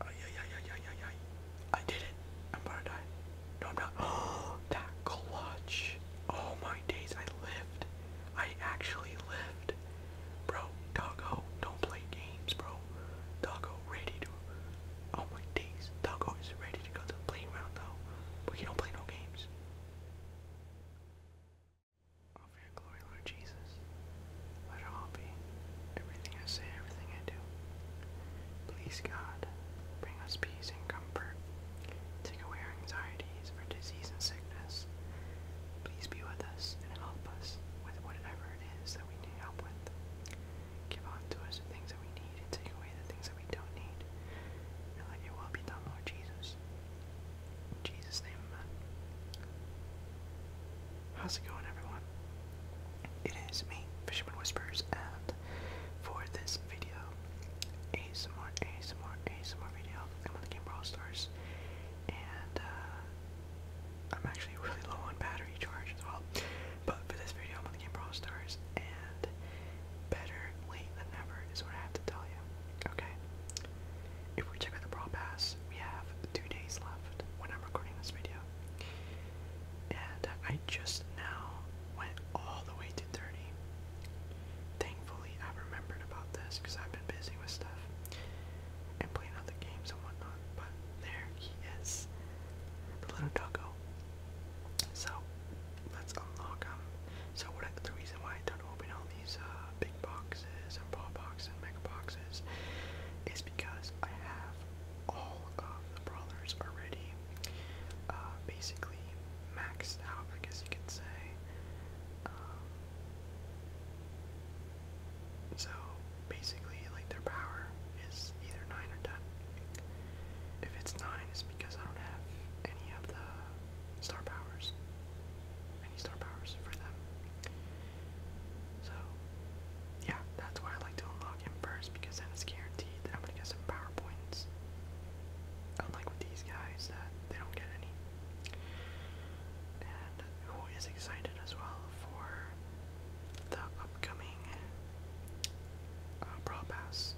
Oh, yeah, yeah, yeah, yeah, yeah, yeah. I did it. I'm gonna die. No, not. that clutch. Oh my days, I lived. I actually lived. Bro, doggo, don't play games, bro. Doggo, ready to Oh my days, Doggo is ready to go to the playground though, but he not play no games. Oh, glory, Lord Jesus, let it all be, everything I say, everything I do. Please, God, bring us peace and comfort. Take away our anxieties for disease and sickness. Please be with us and help us with whatever it is that we need help with give unto us the things that we need and take away the things that we don't need. And let your will be done, Lord Jesus. Jesus' name, How's it going, everyone? It is me, Fisherman Whispers, and for this video, ASMR, ASMR, ASMR video, I'm on the game Stars, and uh, I'm actually really low on battery charge as well. But for this video, I'm going the game Brawl Stars, and better late than never is what I have to tell you. Okay? If we check out the Brawl Pass, we have two days left when I'm recording this video. And I just now went all the way to 30. Thankfully, I remembered about this because I've been busy with stuff and playing other games and whatnot. But there he is the little doggo. So let's unlock them. So what I, the reason why I don't open all these uh, big boxes and paw boxes and mega boxes is because I have all of the brawlers already uh, basically maxed out, I guess you could say. Um, so basically like their power is either 9 or 10. If it's 9, it's because I don't have any of the star powers. Any star powers for them. So, yeah, that's why I like to unlock him first because then it's guaranteed that I'm gonna get some power points. Unlike with these guys, that they don't get any. And who is excited as well for the upcoming uh, Brawl Pass.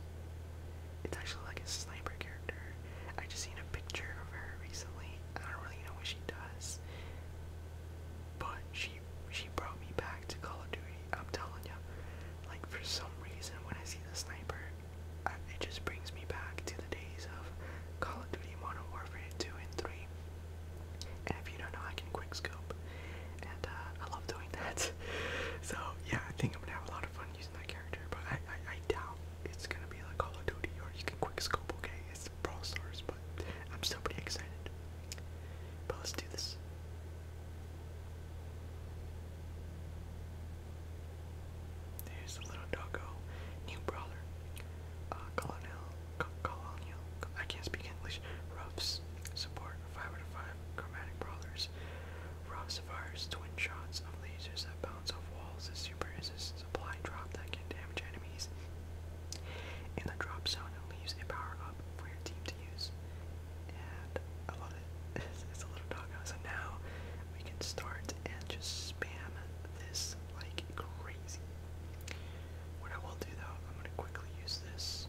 It's actually like a sniper character. I just seen a picture of her recently. I don't really know what she does, but she she brought me back to Call of Duty. I'm telling you, like for some reason when I see the sniper, I, it just brings me back to the days of Call of Duty Modern Warfare 2 and 3 if you don't know, I can quick and uh, I love doing that. so yeah, I think I'm gonna have a lot of fun using that character, but I I, doubt it's gonna be like Call of Duty or you can quick scope. Okay, it's Brawl Stars, but I'm still pretty excited. But let's do this. There's the little doggo, new brawler. Uh, Colonel colonial, I can't speak English, Ruff's support, 5 out of chromatic brawlers. Ruff's fires twin shots of lasers that bounce off walls as super is supply drop that can damage enemies. In the drop zone, leaves a power up for your team to use. And I love it. It's, a little doggo. So now we can start and just spam this like crazy. What I will do though, I'm going to quickly use this.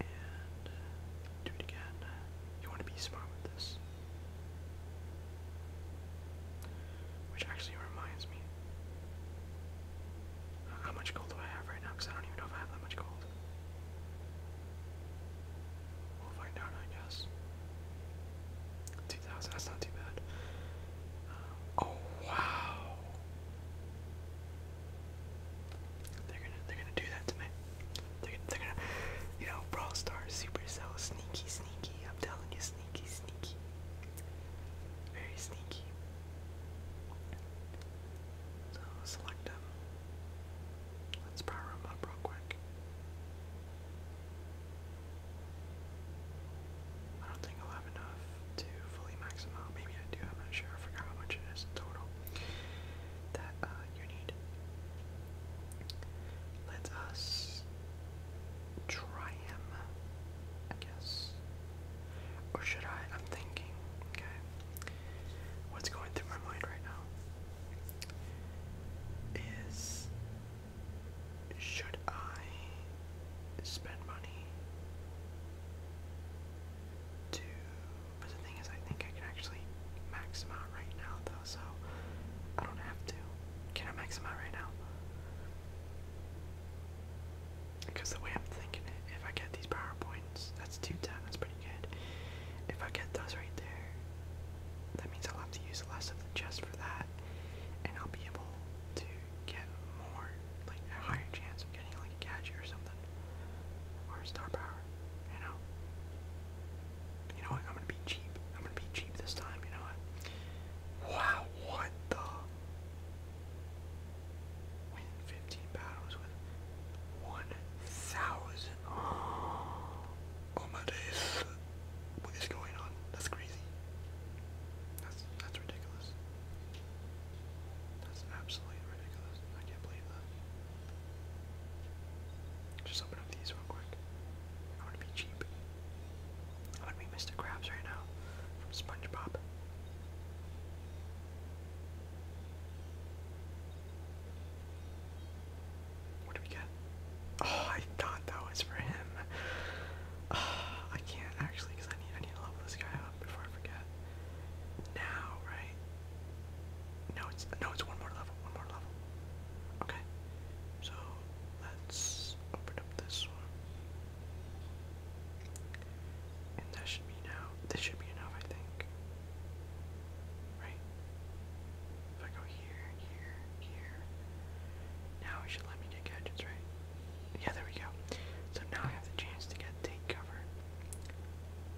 And uh, do it again. You want to be smart with this. Which actually reminds me. Uh, how much gold do I have right now? Because I don't even know if I have that much gold. We'll find out, I guess. 2,000, that's not too bad. Oh wow. They're gonna they're gonna do that to me. They're, they're you know, Brawl Stars, Supercell, sneaky, sneaky. I'm telling you, sneaky, sneaky. Very sneaky. So select them. Let's power them up real quick. I don't think I'll have enough to fully max them out. Maybe I do, I'm not sure. I forgot how much it is total that uh, you need. Let us try him, I guess. Or should I? I'm thinking, okay. What's going through my mind right now is should I spend money But the thing is, I think I can actually max out right now, though, so I don't have to. Can I max out right now? Because the way I'm thinking it, if I get these power points, that's 210, that's pretty good. If I get those right there, that means I'll have to use less of the chest for that, and I'll be able to get more, like a higher chance of getting like a gadget or something, or star power, you know? You know what, I'm gonna be cheap. I'm gonna be cheap this time, you know what? Wow, what the? Win 15 battles with 1,000. Oh my days. What is going on? That's crazy. That's, that's ridiculous. That's absolutely ridiculous. I can't believe that. Just open up these real quick. I want to be cheap. I want to be Mr. Krabs right now from SpongeBob. What do we get? Oh, I thought that was for him. I can't actually because I need I need to level this guy up before I forget. Now, right? No, it's no, it's one more level, one more level. Okay, so let's open up this one, and that should be now. This should be enough, I think. Right? If I go here, here, here, now it should let me get gadgets, right? Yeah, there we go. So now I have the chance to get take cover.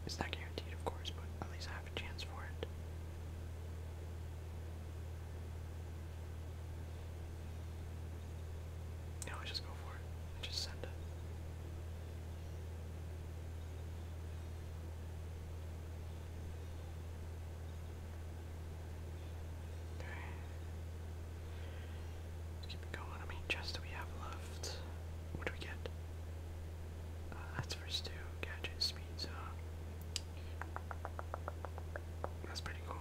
It's not guaranteed, of course, but at least I have a chance for it. Now I just go for it. I just send it. Okay. Let's keep going. I mean, chests we have left? What do we get? Uh, that's for Stu. Gadget speed That's pretty cool.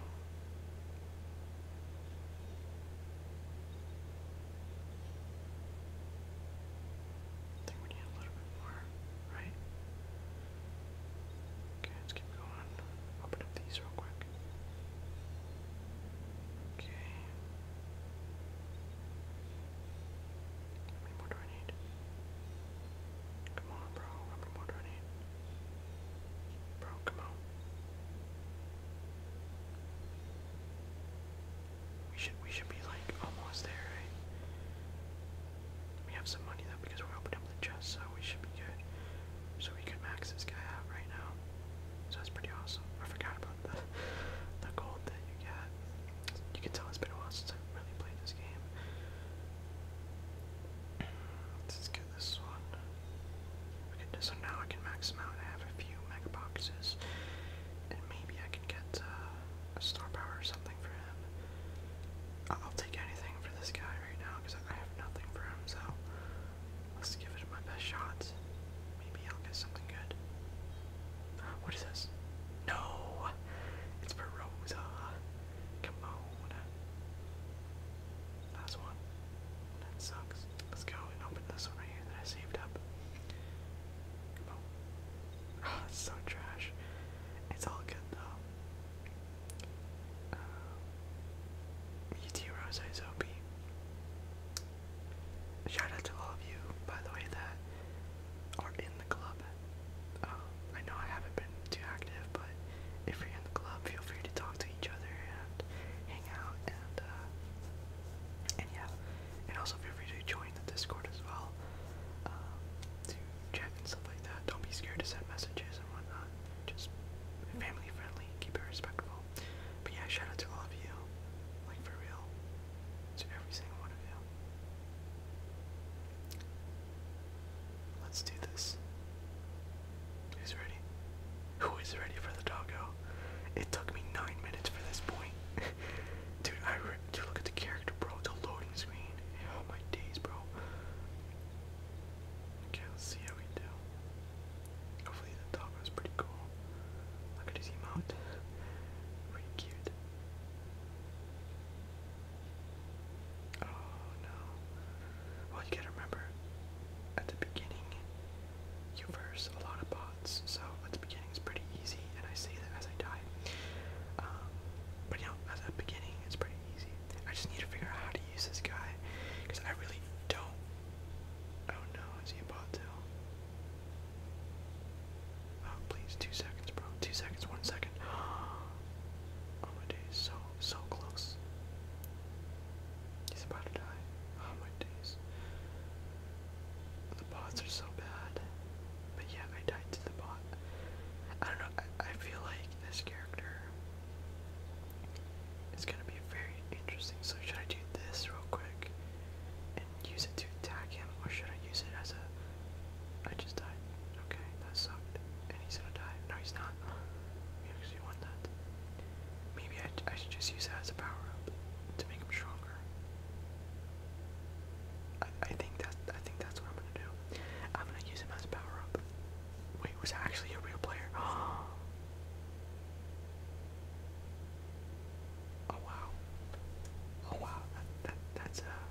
we need a little more, right? Okay, let's keep going. Open up these real quick. Okay. How do I need? Come on, bro. How more do I need? Bro, come on. We should we should be like almost there, We have some money though because we opened up the chest, so we should be good. So we could max this guy out right now. So that's pretty awesome. I forgot about the the gold that you get. You can tell it's been a while since I've really played this game. Let's get this one. Okay, so now I can max them out I have a few mega boxes. And maybe I can get uh, a star power or something for him. I'll take anything for this guy right now because I have nothing for him, so Let's give it my best shots. Maybe I'll get something good. What is this? No! It's for Come on. Last one. That sucks. Let's go and open this one right here that I saved up. Come on. Oh, it's so trash. It's all good though uh, um, meteorosai Zopi. Shout out to all of you, by the way, that are in the club. Um, I know I haven't been too active, but if you're in the club, feel free to talk to each other and hang out, and uh, yeah, and also feel free to join the Discord as well um, to chat and stuff like that. Don't be scared to send messages and whatnot just family friendly, keep it respectful. But yeah, shout out to all of you, like for real, to every single one of you. Let's do this. Who's ready? Who is ready for the doggo? It took me nine minutes for this point. dude, I re look at the character, bro. The loading screen. Oh, my days, bro. Okay, let's see how we do. Hopefully the dog was pretty cool. Look at his emote. Pretty cute. Oh no. Well, you gotta remember, at the beginning, you verse a lot of bots, so at the beginning it's pretty easy, and I say that as I die. Um, but you know, at the beginning it's pretty easy. I just need to figure out how to use this guy, because I really don't. Oh no, is he about to? Oh please, two seconds, bro. Two seconds, one second. Oh my days, so so close. He's about to die. Oh my days. The bots are so bad. But yeah, I died to the bot. I don't know, I, I feel like this character it's gonna be very interesting. So should I do this real quick and use it to attack him, or should I use it as a? I just died. Okay, that sucked. And he's gonna die. No, he's not. We actually won that. Maybe I, should just use that as a power up to make him stronger. I, think that I think that's what I'm gonna do. I'm gonna use him as a power up. Wait, was actually a real player? Oh, Oh wow. Oh wow. That, that that's uh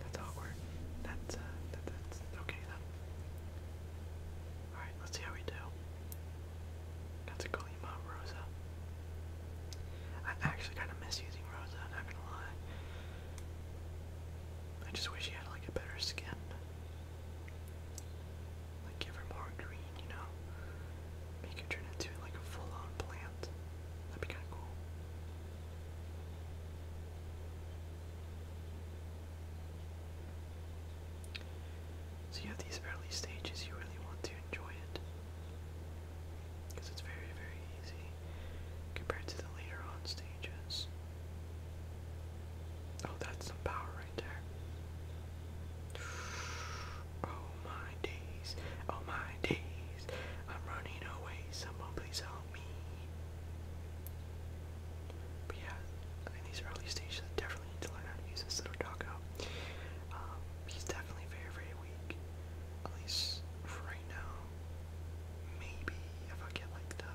that's awkward. That's uh that, that's okay Alright, let's see how we do. Got to call you Rosa. I actually kinda miss using Rosa, i not gonna lie. I just wish she had like a better skin. Like give her more green, you know? Make her turn into like a full-on plant. That'd be kinda cool. So you have these early stages, you really want to enjoy it. Because it's very, very easy compared to the later on stages. Oh, that's some power right there. Oh my days, oh my days, I'm running away. Someone please help me. yeah, in these early stages, I definitely need to learn how to use this little doggo. Um, he's definitely very, very weak. At least right now. Maybe if I get like the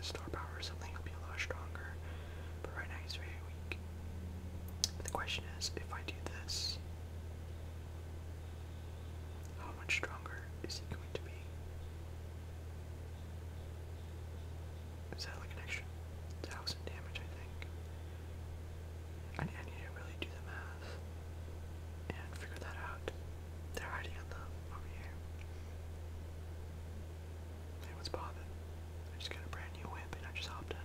star power or something, he'll be a lot stronger. But right now he's very weak. But the question is, if I do this, how much stronger is he going to be? Is that like an extra thousand damage, I think? I need to really do the math and figure that out. They're hiding on the over here. Hey, what's poppin'? I just got a brand new whip and I just hopped in.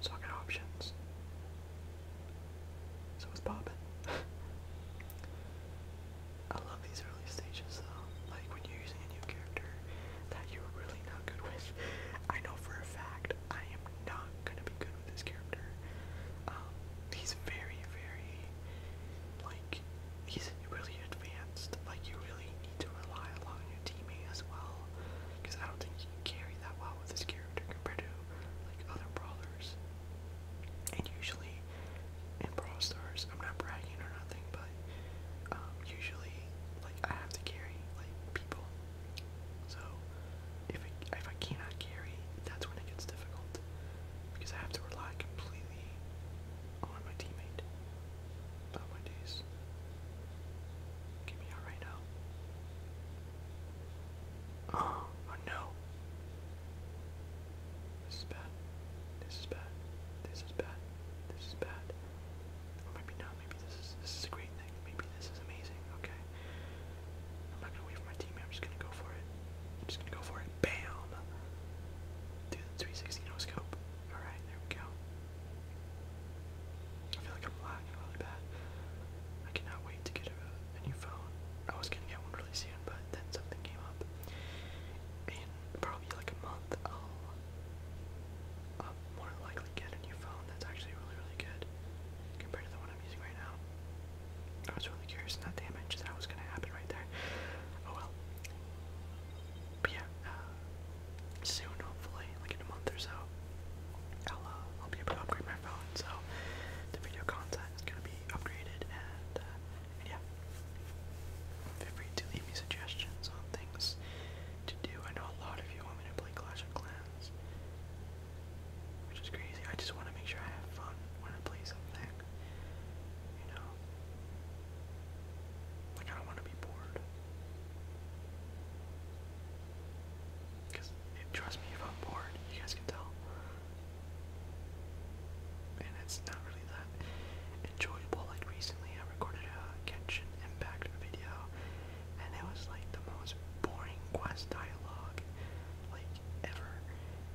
So I got options. So what's poppin'? I love these early stages though. Like when you're using a new character that you're really not good with. I know for a fact I am not gonna be good with this character. Um, he's very, very like he's really advanced. Like you really need to rely on your teammate as well, because I don't think you can that well with this character compared to like other brawlers. And usually in Brawl Stars, I'm not bragging or nothing, but um, usually like I have to carry like people. So if I, if I cannot carry, that's when it gets difficult because I have to rely completely I'm a teammate. Oh my days. Get me out now. Oh, oh, no. This is bad. This is bad. This is bad. This is bad. maybe not. Maybe this is this is a great thing. Maybe this is amazing. Okay. I'm not gonna wait for my teammate. I'm just gonna go for it. I'm just gonna go for it bam! Do the 360 scope. Alright, there we go. I feel like I'm lagging really bad. I cannot wait to get a, new phone. I was gonna get one really soon, but then something came up. In probably like a month, I'll more likely get a new phone that's actually really, really good compared to the one I'm using right now. I was really curious in that damage that was gonna happen right there. Oh well but yeah, uh, soon hopefully, like in a month or so, uh, I'll, be able to upgrade my phone, so the video content is going to be upgraded, uh, and, yeah, feel free to leave me suggestions on things to do. I know a lot of you want me to play Clash of Clans, which is crazy. I just want to make sure I have fun when I play something, you know, like, I don't want to be bored. Because, trust me, if I'm bored, you guys can tell. And it's not really that enjoyable. Like, recently I recorded a Genshin Impact video, and it was like the most boring quest dialogue, like, ever.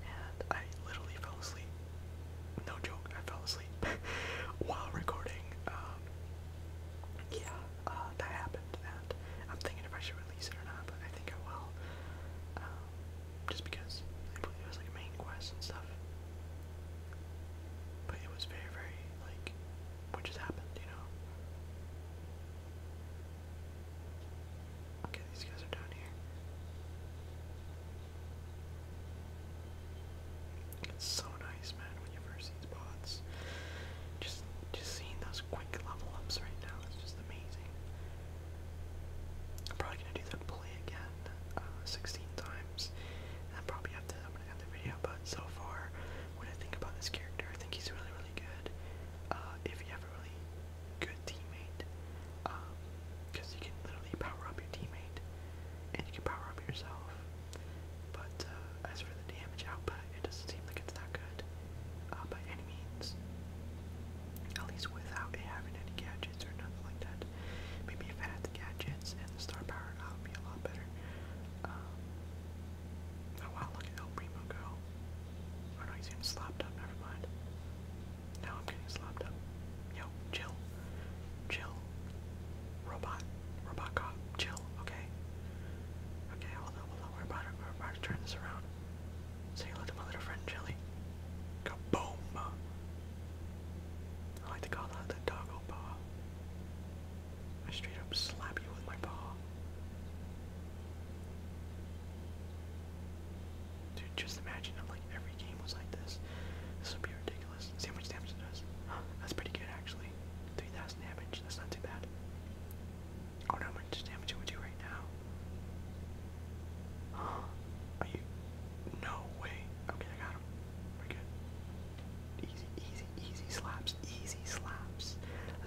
And I literally fell asleep no joke, I fell asleep while recording. Um, yeah, uh, that happened, and I'm thinking if I should release it or not, but I think I will. Um, just because I believe it was like a main quest and stuff. But it was very, very, like, what just happened, you know? Okay, these guys are down here. It's so nice, man, when you first see bots. Just just seeing those quick level ups right now is just amazing. I'm probably gonna do that play again, uh, 16 times. And probably have to. I'm going the video, but so far, what I think about this character, I think he's really, really good. Uh, if you have a really good teammate, um, because you can literally power up your teammate, and you can power up yourself. But uh, as for the damage output, it doesn't seem like it's that good uh, by any means. At least without having any gadgets or nothing like that. Maybe if I had the gadgets and the star power, it would be a lot better. Um, oh wow, look at El Primo go. Oh no, he's getting slapped up, never mind. Now I'm getting slapped up. Yo, chill. Chill. Robot. Robot cop. Chill, okay? Okay, hold on, hold on. We're about to, we're about to turn this around. Say hello little friend, Jelly. Kaboom! I like to call that the doggo paw. I straight up slap you with my paw. Dude, just imagine if like every game was like this. This would be ridiculous. See how much damage it does. That's pretty good actually. 3,000 damage, that's not too bad. I oh, do how much damage would do right now. Are you? No way. Okay, I got him. We're good. Easy, easy, easy slaps. Easy slaps.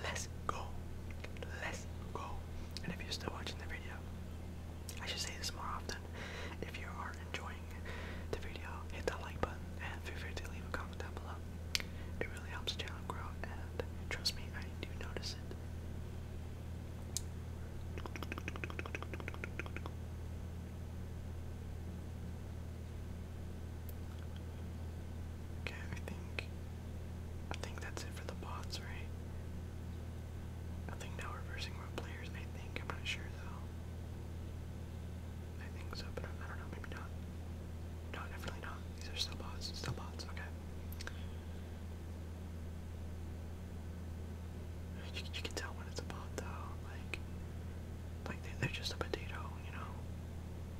Let's go. Let's go. And if you're still watching the video, I should say this more often. If you are enjoying the video, hit that like button and feel free to leave a comment down below. It really helps the channel grow and trust me, I do notice it. Okay, I think I think that's it for the bots, right? I think now reversing road players, I think. I'm not sure though. I think so, but I don't know, maybe not. No, definitely not. These are still bots. Still bots, okay. You, can tell when it's a bot though, like, like they're just a potato, you know?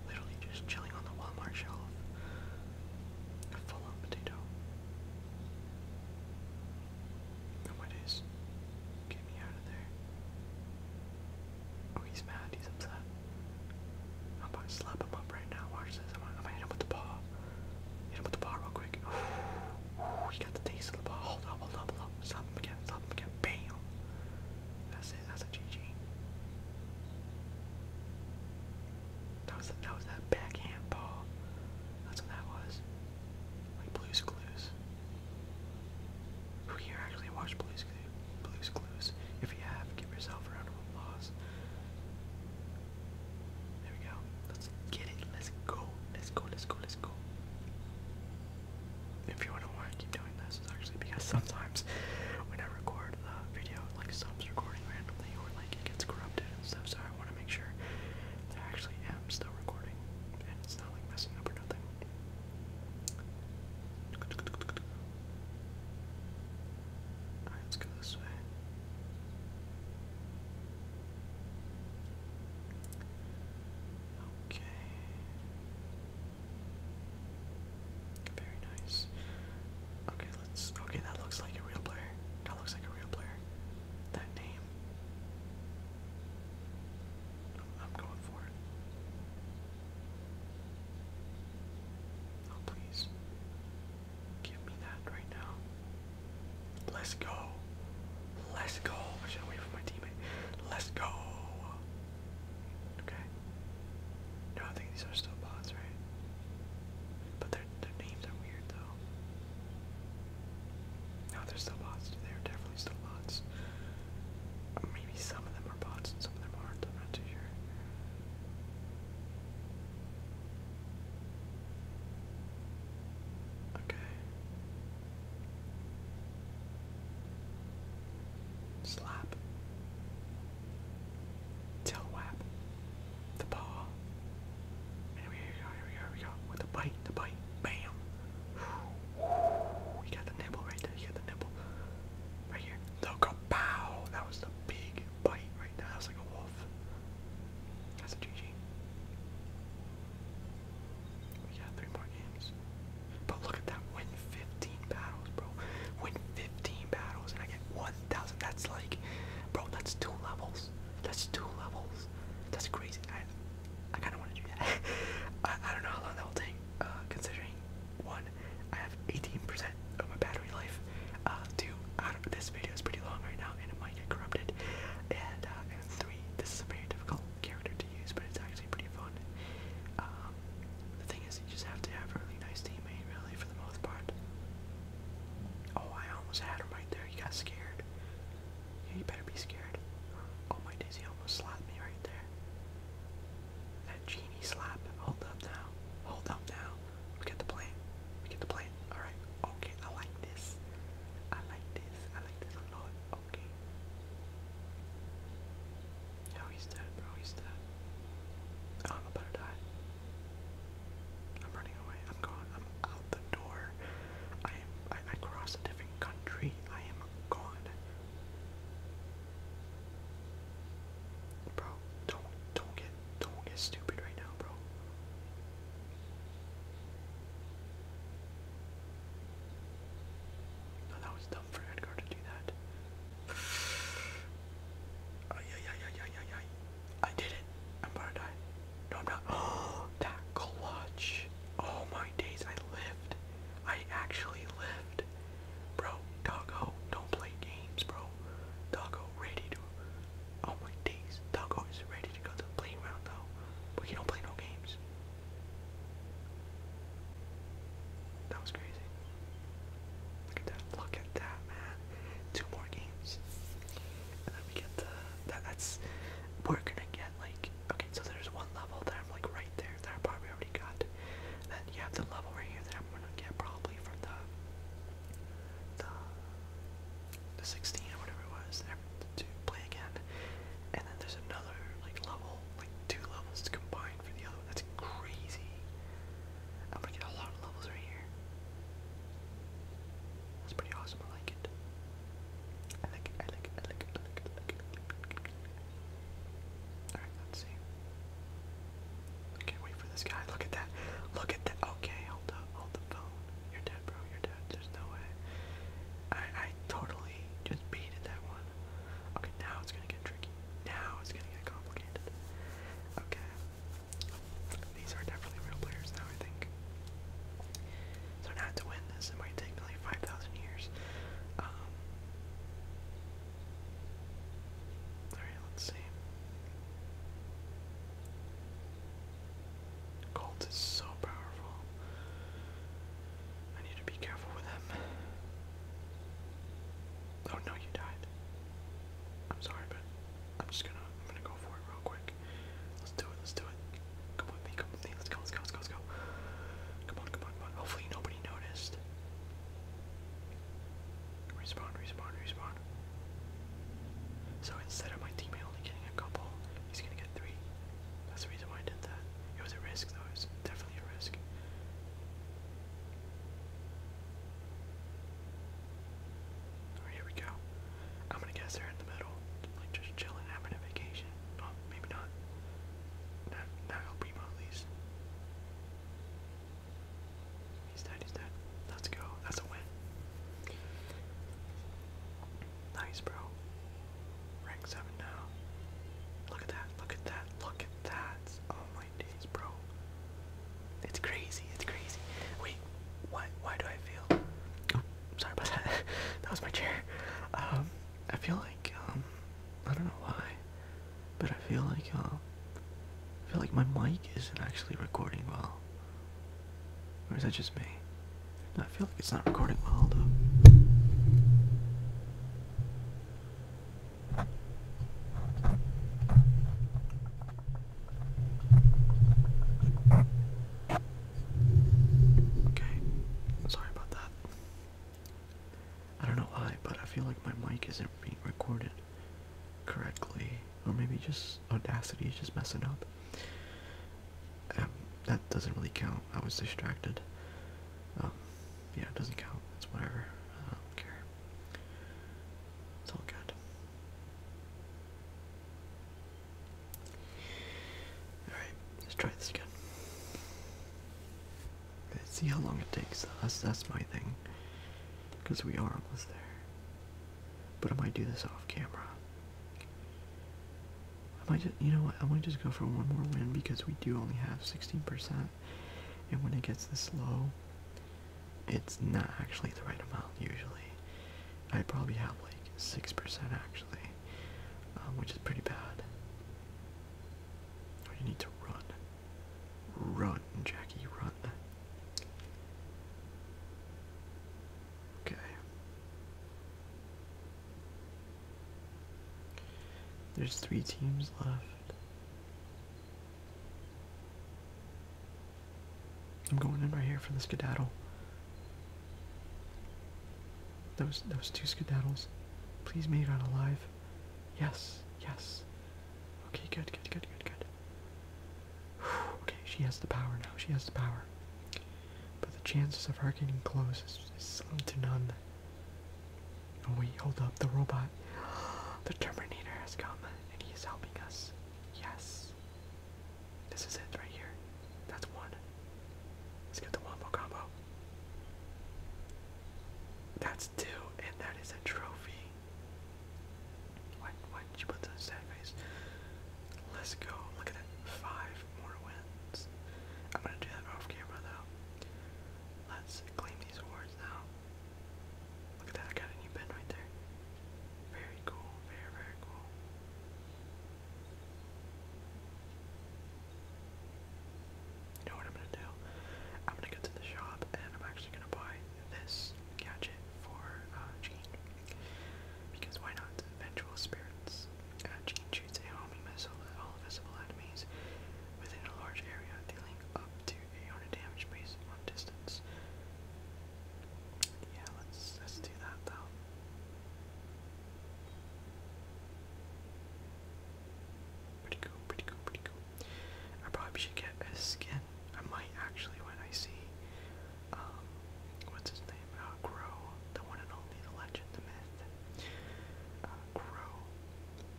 Literally just chilling on the Walmart shelf. A full on potato. Nowadays. Get me out of there. Oh, he's mad. He's upset. i about slap him up right now. Watch this. am I'm him with the paw. Hit him with the paw real quick. Ooh, he got the taste of the paw. Hold up, hold up, hold up. Slap him again. Slap him again. Bam. That's it. That's a GG. That was, that was that backhand ball. That's what that was. Like Blue's Clues. Who here actually watched Blue's, Clu Blue's Clues? If you have, give yourself a round of applause. There we go. Let's get it. Let's go. Let's go. Let's go. Let's go. If you wonder why I keep doing this, it's actually because sometimes when I record the video, it like stops recording randomly or like it gets corrupted and stuff. So I want to make sure that I actually am still recording let's go this way. Okay. Very nice. Okay, let's. Okay, that looks like a real player. That looks like a real player that name. I'm going for it. Oh, please. Give me that right now. Let's go. Let's go. I should wait for my teammate. Let's go. Okay. No, I think these are still bots, right? But their, their names are weird, though. No, there's still bots. There are definitely still bots. Maybe some of them are bots and some of them aren't. I'm not too sure. Okay. Slap. Tail whap. The paw. Here we go, here we go, here we go. With the bite, the bite. Bam. You got the nibble right there, you got the nibble. Right here. The kapow! That was the big bite right there. That was like a wolf. That's a GG. We got three more games. But look at that. Win 15 battles, bro. Win 15 battles and I get 1,000. That's like, bro, that's two levels. That's two levels. That's crazy. I kind of want to do that. I, don't know how long that will take, uh, considering one, I have 18% of my battery life. two, I don't, this video is pretty long right now, and it might get corrupted. Uh, and, three, this is a very difficult character to use, but it's actually pretty fun. Um, the thing is, you just have to have a really nice teammate, really, for the most part. Oh, I almost had him right there. He got scared. Yeah, you better be scared. Oh my Daisy almost slapped me right there. That genie slap. Hold up now. Hold up now. We get the plant. We get the plant. Alright. Okay, I like this. I like this. I like this Okay. Oh, he's dead, bro. He's dead. Oh, I'm about to die. I'm running away. I'm going. I'm out the door. I am I, cross a different country. I am gone. Bro, don't don't get don't get stupid right now, bro. No, that was dumb for Edgar to do that. Ay, ay, ay, ay, ay, ay, ay. I did it. I'm about to die. No, I'm not. Oh, that clutch. All oh, my days, I lived. I actually lived. Bro, Doggo, don't play games, bro. Doggo, ready to. Oh my days, Doggo is ready to go to the playground, though. But he don't play no games. That was crazy. Look at that. Look at that, man. Two more games. And then we get the. that's. We're gonna get, like, okay, so there's one level that I'm like right there that I probably already got. And then you have the level right here that I'm gonna get probably from the the the 16 or whatever it was to play again. And then there's another like level, like two levels to combine for the other one. That's crazy. I'm gonna get a lot of levels right here. That's pretty awesome. I like it. I like it, I like it, I like it, I like it, Alright, let's see. I can't wait for this guy. Look at that. Look at that. Okay, hold up, hold the phone. You're dead, bro. You're dead. There's no way. I I totally just beated that one. Okay, now it's gonna get tricky. Now it's gonna get complicated. Okay. These are definitely real players now, I think. So not to win this, it might take like five thousand years. Um, all right, let's see. Colt is so powerful. I need to be careful with him. Oh no, you died. I'm sorry, but I'm just gonna I'm gonna go for it real quick. Let's do it, let's do it. Come with me, come with me. Let's go, let's go, let's go, let's go. Come on, come on, Hopefully nobody noticed. Respawn, respawn, respawn. So instead of my teammate only getting a couple, he's gonna get three. That's the reason why I did that. It was a risk though, it was definitely a risk. here we go. I'm gonna guess they're in the middle, like just chilling, having a vacation. Oh, maybe not. Not, not Primo, at least. He's dead, he's dead. Let's go. That's a win. Nice, bro. Rank 7 now. Look at that, look at that, look at that. Oh my days, bro. It's crazy, it's crazy. Wait, why, why do I fail? sorry about that. that was my chair. Um, I feel like um, I don't know why, but I feel like uh, feel like my mic isn't actually recording well. Or is that just me? I feel like it's not recording well though. Okay, sorry about that. I don't know why, but I feel like my mic isn't being recorded correctly, or maybe just Audacity is just messing up. Um, that doesn't really count. I was distracted. Um, yeah, it doesn't count. That's whatever. I don't care. It's all good. Alright, let's try this again. Let's see how long it takes. That's, that's my thing. Because we are almost there. But I might do this off camera. I might just, you know what, I might just go for one more win because we do only have 16%. And when it gets this low, it's not actually the right amount usually. I probably have like 6% actually, um, which is pretty bad. you need to run. Run, Jackie, run. Okay. There's three teams left. I'm going in right here for the skedaddle. Those those two skedaddles. Please make it out alive. Yes, yes. Okay, good, good, good, good, good. okay, she has the power now. She has the power. But the chances of her getting close is, slim to none. Oh wait, hold up, the robot. The Terminator has come, and he is helping us. Yes. This is it right here. That's one. Let's get the wombo combo. That's two, and that is a trophy. Why, why did you put that sad face? Let's go. Look at that. Five more wins. I'm gonna do that off camera though. Let's claim these awards now. Look at that. got a new pin right there. Very cool. Very, very cool. You know what I'm gonna do? I'm gonna go to the shop and I'm actually gonna buy this gadget for uh, Jean. Because why not? Vengeful spirits. Uh, Jean shoots a homing missile at all visible enemies within a large area, dealing up to 800 damage based on distance. Yeah, let's let's do that though. Pretty cool, pretty cool, pretty cool. I probably should get a skin. I might actually when I see, um, what's his name? Uh, Grow, the one and only, the legend, the myth. Uh, Grow.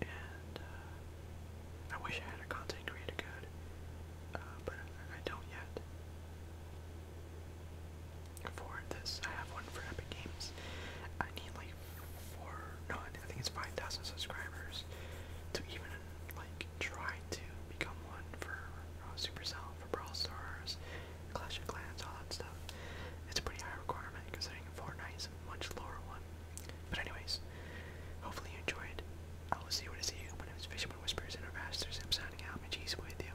And, uh, I wish I had a content creator code, uh, but I don't yet for this. I have one for Epic Games. I need like four, no, I think it's 5,000 subscribers to even like try to become one for uh, Supercell, for Brawl Stars, Clash of Clans, all that stuff. It's a pretty high requirement considering Fortnite is a much lower one. But anyways, hopefully you enjoyed. I will see you when I see you. My name is Fisherman Whispers and our Masters. I'm signing out. My G's with you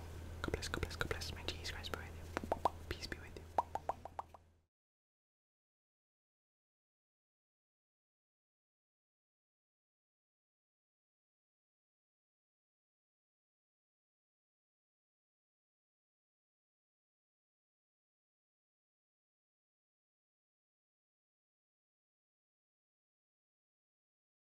God bless, God bless, God bless. my Jesus Christ be with you. Peace be with you.